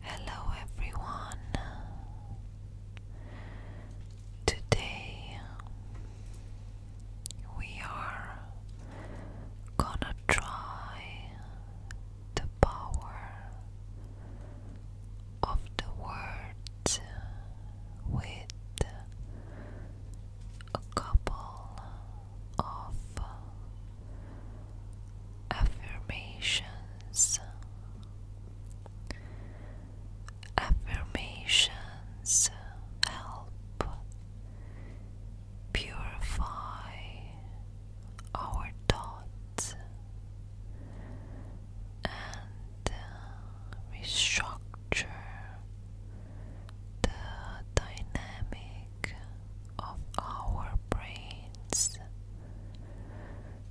Hello everyone. Today we are gonna try the power of the words with a couple of affirmations affirmations help purify our thoughts and restructure the dynamic of our brains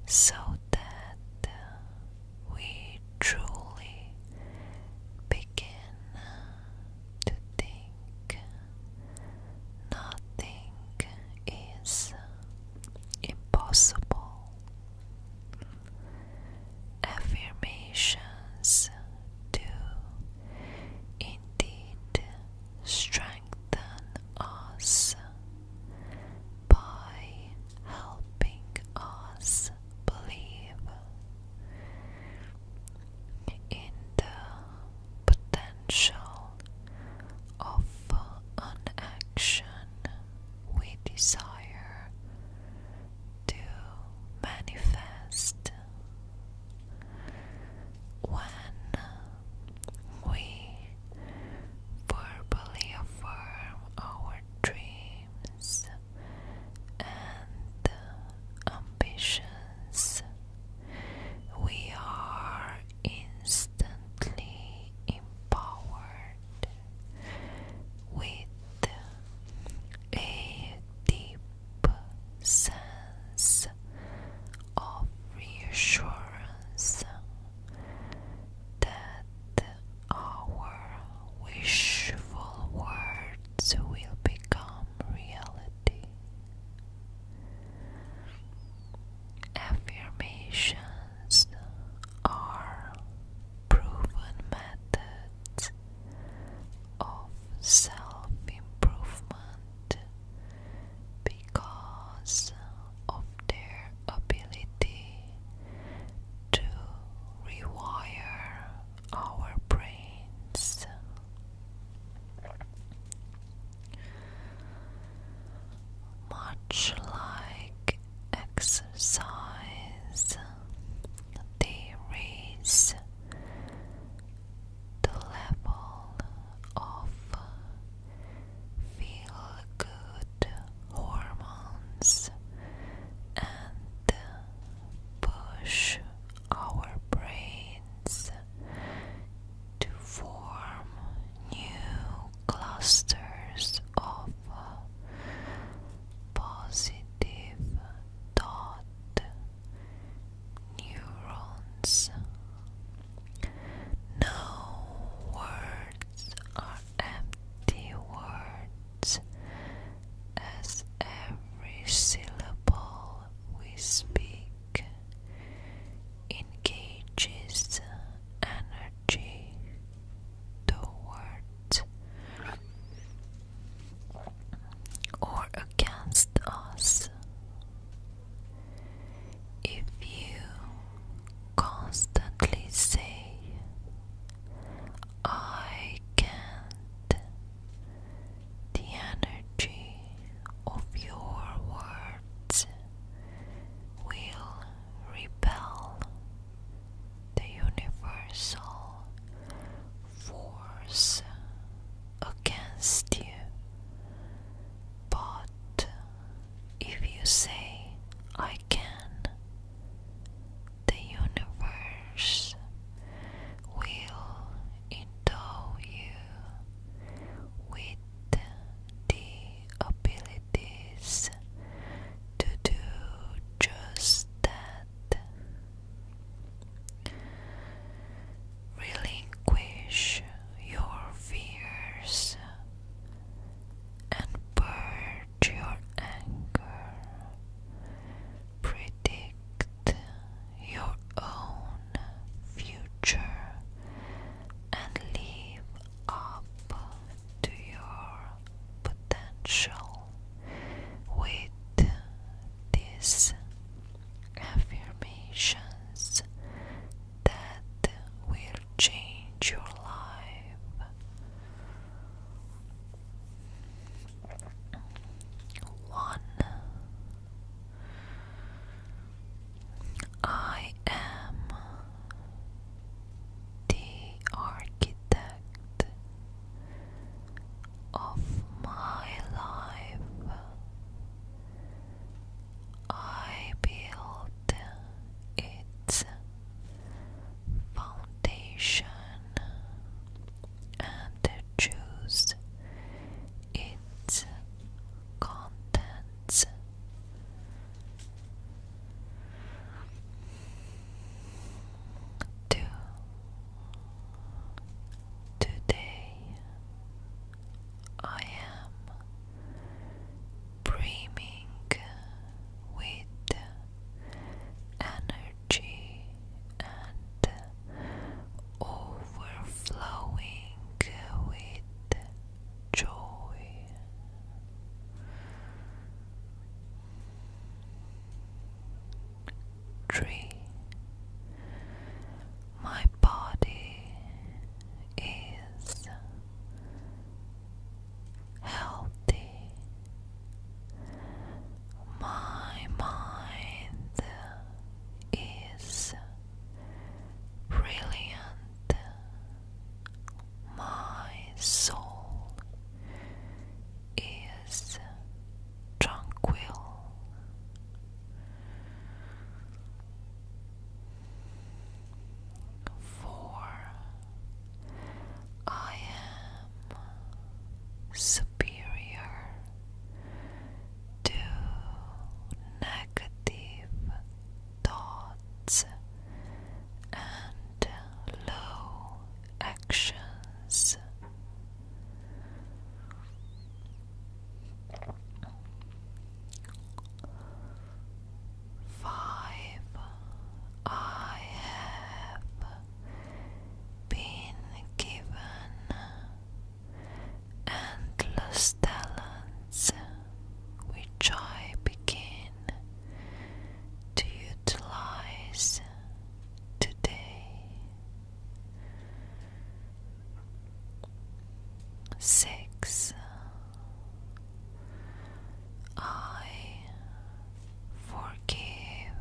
so that we truly begin to think nothing is impossible. Affirmations do indeed strengthen strengthen us by helping us believe in the potential of an action we desire to manifest when we verbally affirm our dreams and ambitions, we are instantly empowered with a deep sense of reassurance that our wishful words will become reality. Affirmations are proven methods of self improvement because of their ability to rewire our brains. Much like exercise, they the level of feel good hormones and push our brains to form new clusters of positive thought neurons. No words are empty words, as every syllable we speak engages energy toward or against us. If you constantly say, I can't, the energy of your words will repel the universal force against you. But if you say, I can, the universe will endow you with the abilities to do just that. Relinquish your fears and purge your anger. Predict your own future and live up to your potential with this affirmations that will change your life. One. I am the architect of my life. I built its foundation and choose its contents. Today I am brimming with energy and overflowing with joy. Three my body is healthy. My mind is brilliant. My soul is tranquil. For I am superior to negative thoughts and low actions. Five. I have been given endless talents which I begin to utilize today six I forgive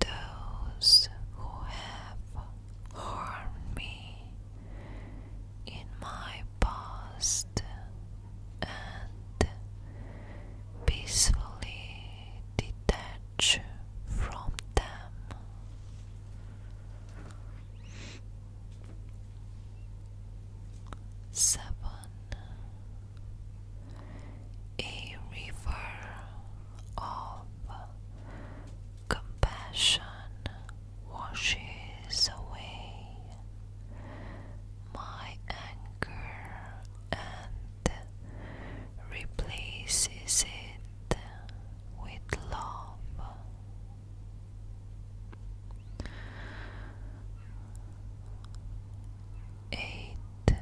those who have harmed me in my past and peacefully detach from them. Seven A river of compassion washes away my anger and replaces it with love. Eight.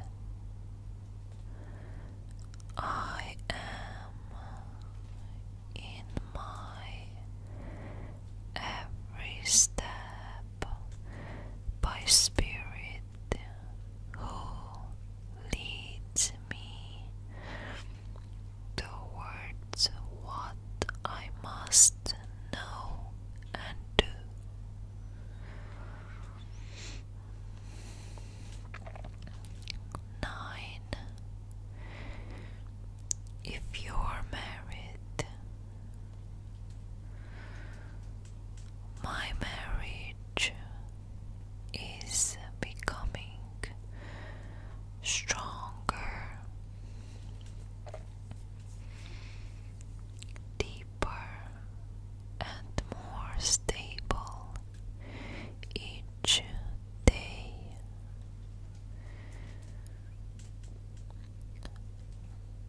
I am in my every step by spirit who leads me towards what I must know and do. Nine. If you're married, my marriage is becoming stronger, deeper, and more stable each day.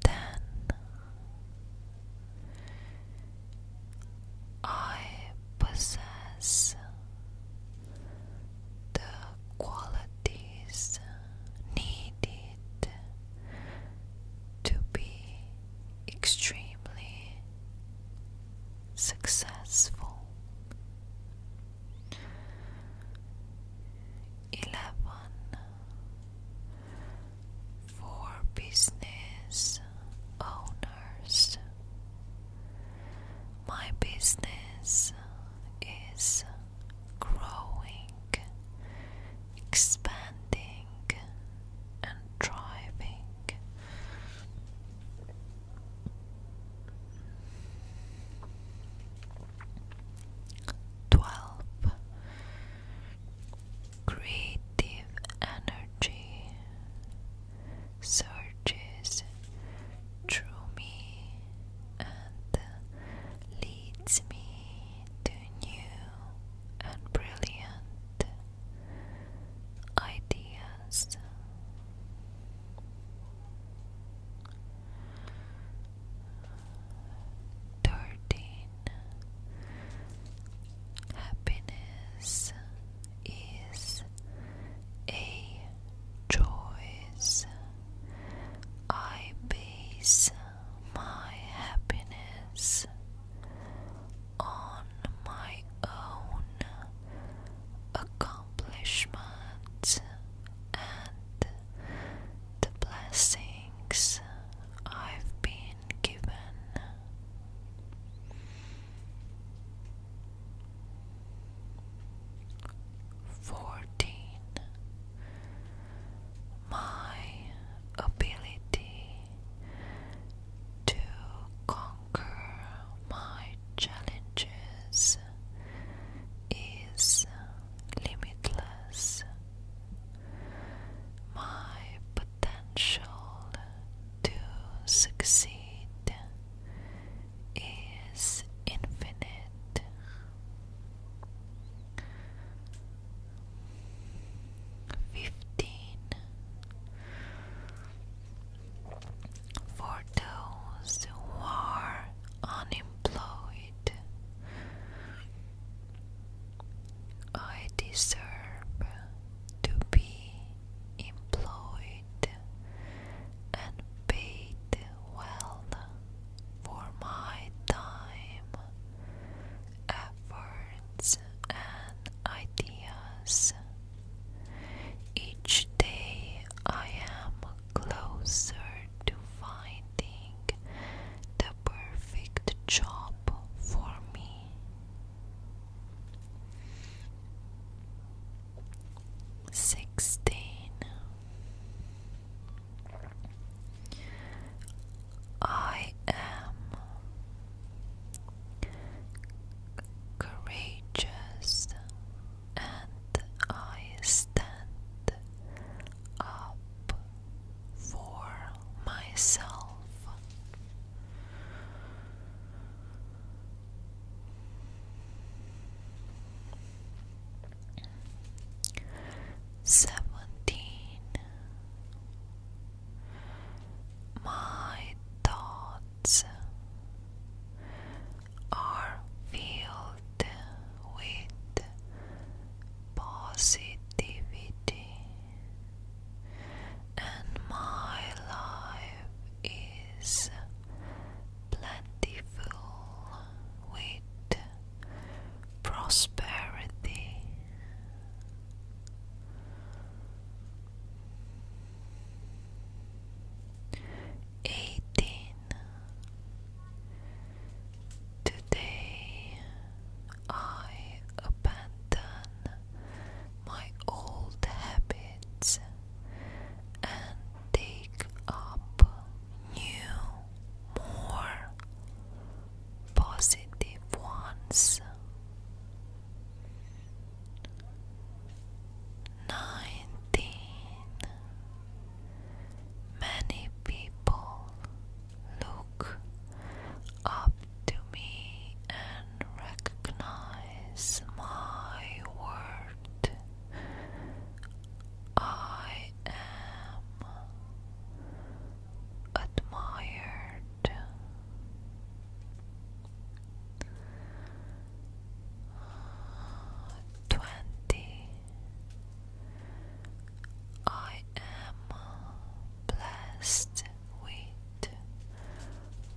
Then I possess the qualities needed to be extremely successful. Eleven for business owners. My business is growing, expanding, and thriving. Twelve Creative energy surges through me and leads me to new and brilliant ideas. Thirteen Happiness is a choice. I base my happiness on my own accomplishments and the blessings I've been given. Fourteen. My ability to conquer my challenges is limitless. My potential to succeed is infinite. Fifteen for those who are unemployed, I deserve to be employed and paid well for my time, efforts, and ideas. Each day I am closer to finding the perfect job for me sixteen. I am courageous and I stand up for myself. Seventeen. My thoughts are filled with positivity, and my life is plentiful with prosperity. Eighteen Today I abandon my old habits kids and take up new, more positive ones. Nineteen. Many people look up to me and recognize my word. I am admired. Twenty. I am blessed with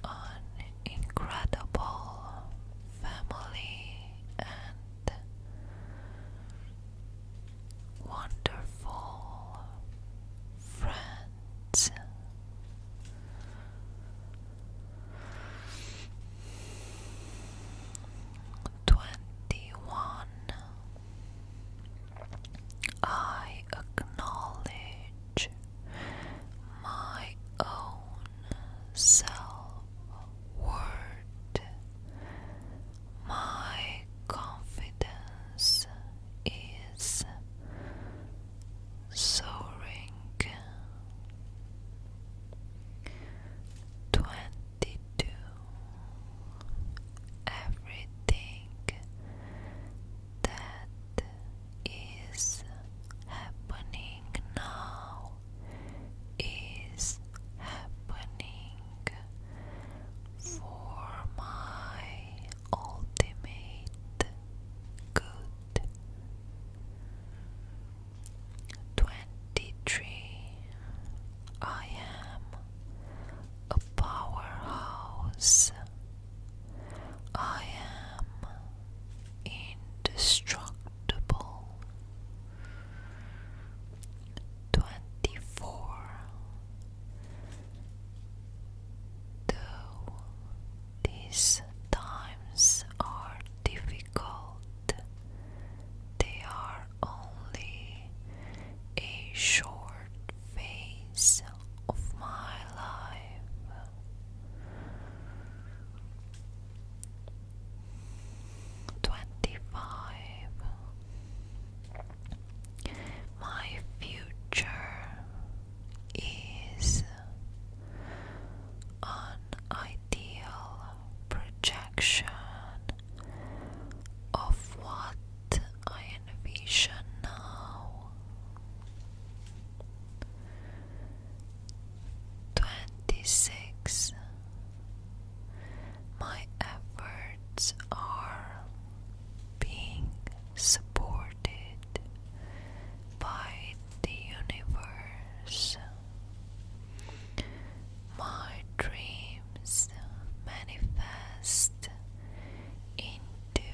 on incredible family and wonderful friends. Twenty one. I acknowledge my own self word. My confidence is soaring. Twenty two. Everything that is happening now is happening for my ultimate good. Twenty three I am a powerhouse. I am indestructible. Twenty four. Though these times are difficult, they are only a short phase of my life. Twenty-five. My future is an ideal projection of what I envision now. Twenty six. My efforts are being supported by the universe. My dreams manifest into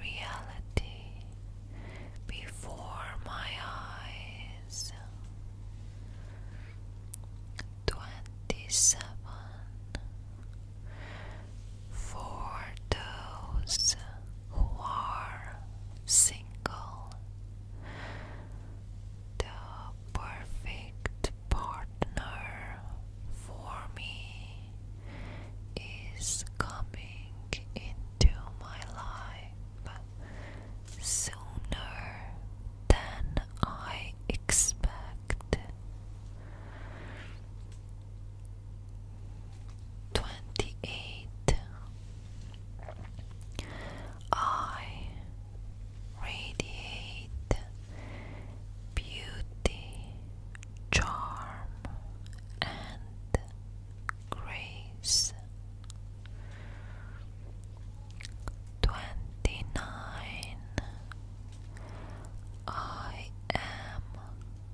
reality before my eyes. Twenty seven for those who are single, the perfect partner for me is coming into my life sooner than I expect. Twenty eight. I radiate beauty, charm, and grace. Twenty nine. I am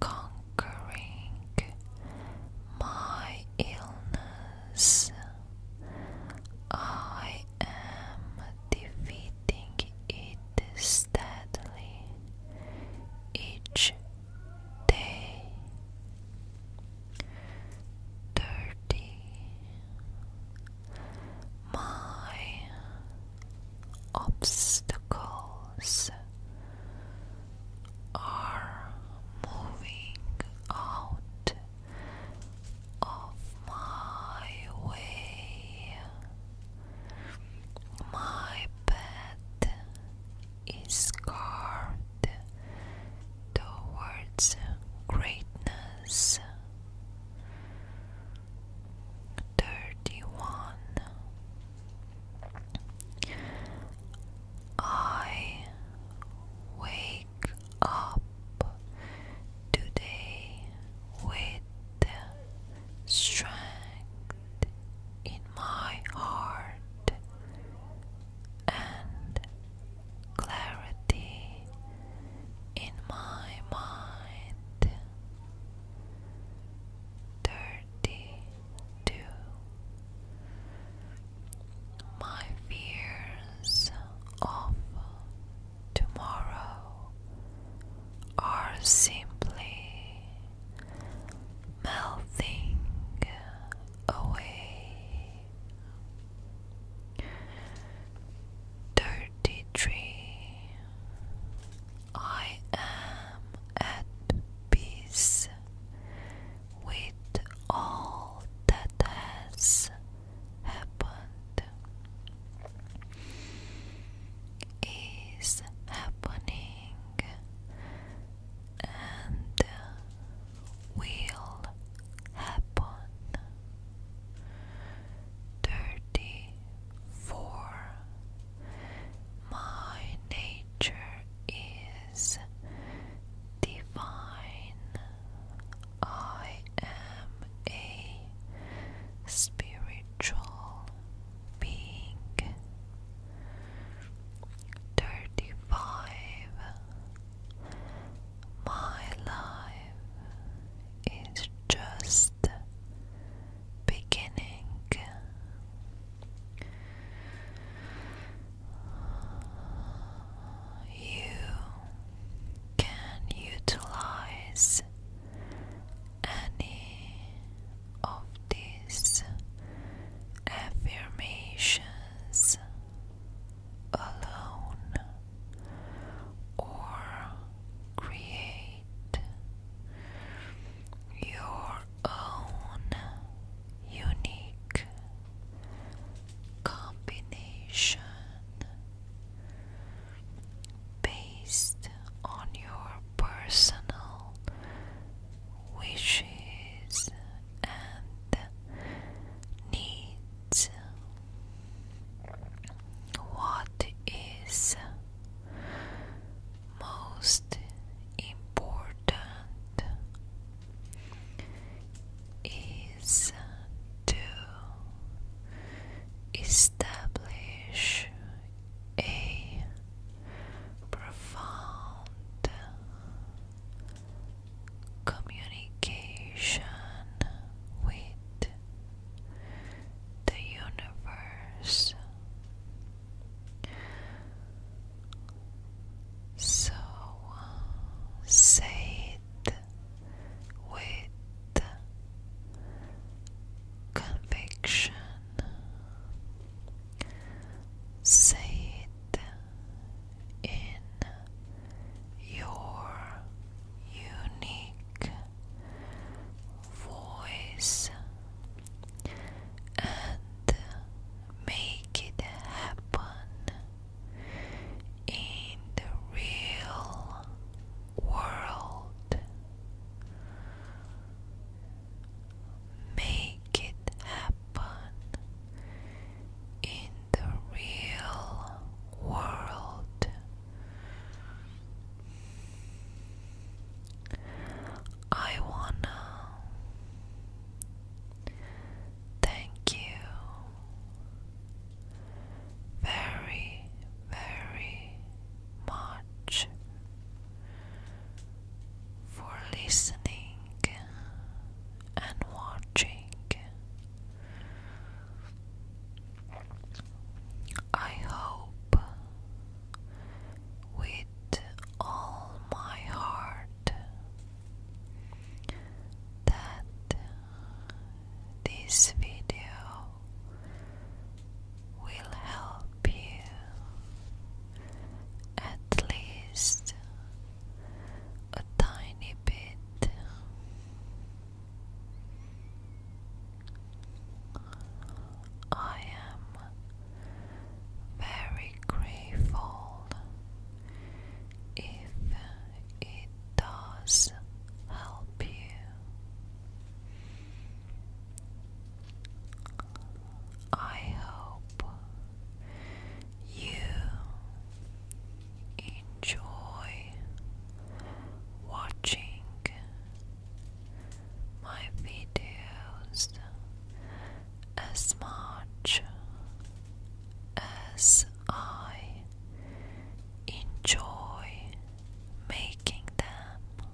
conquering my illness. I am defeating it steadily each day dirty my obstacles are moving out of my way. My bed is carved towards greatness. 31 I wake up today with strength in my heart and clarity in my mind. Thirty two. My fears of tomorrow are simply melting away. Thirty three. I am at peace with all that has happened. Is happening and will happen. Thirty four. My nature is divine. I am a spiritual being thirty five. My life is just beginning. You can utilize any of these affirmations was alone or create your own unique combination based on your personal wishes and needs. What is most important is to establish a profound communication with the universe. So say it with conviction. Say it in your unique voice and make it happen in the real world. Make it happen happen in the real world. I wanna thank you very, very much for listening and watching. I hope with all my heart that this video will help you at least a tiny bit. I am very grateful if it does help you. I hope you enjoy watching my videos as much as I enjoy making them.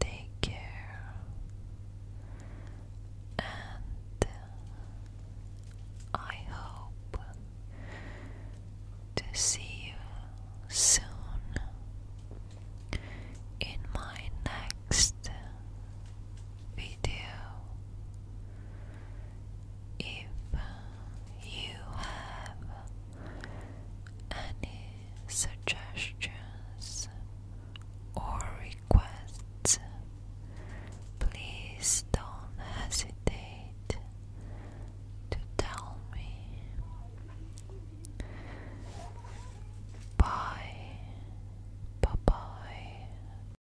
Take care and uh, I hope to see you soon in my next video. If you have any suggestions or requests, please don't hesitate to tell me. Bye. Bye bye.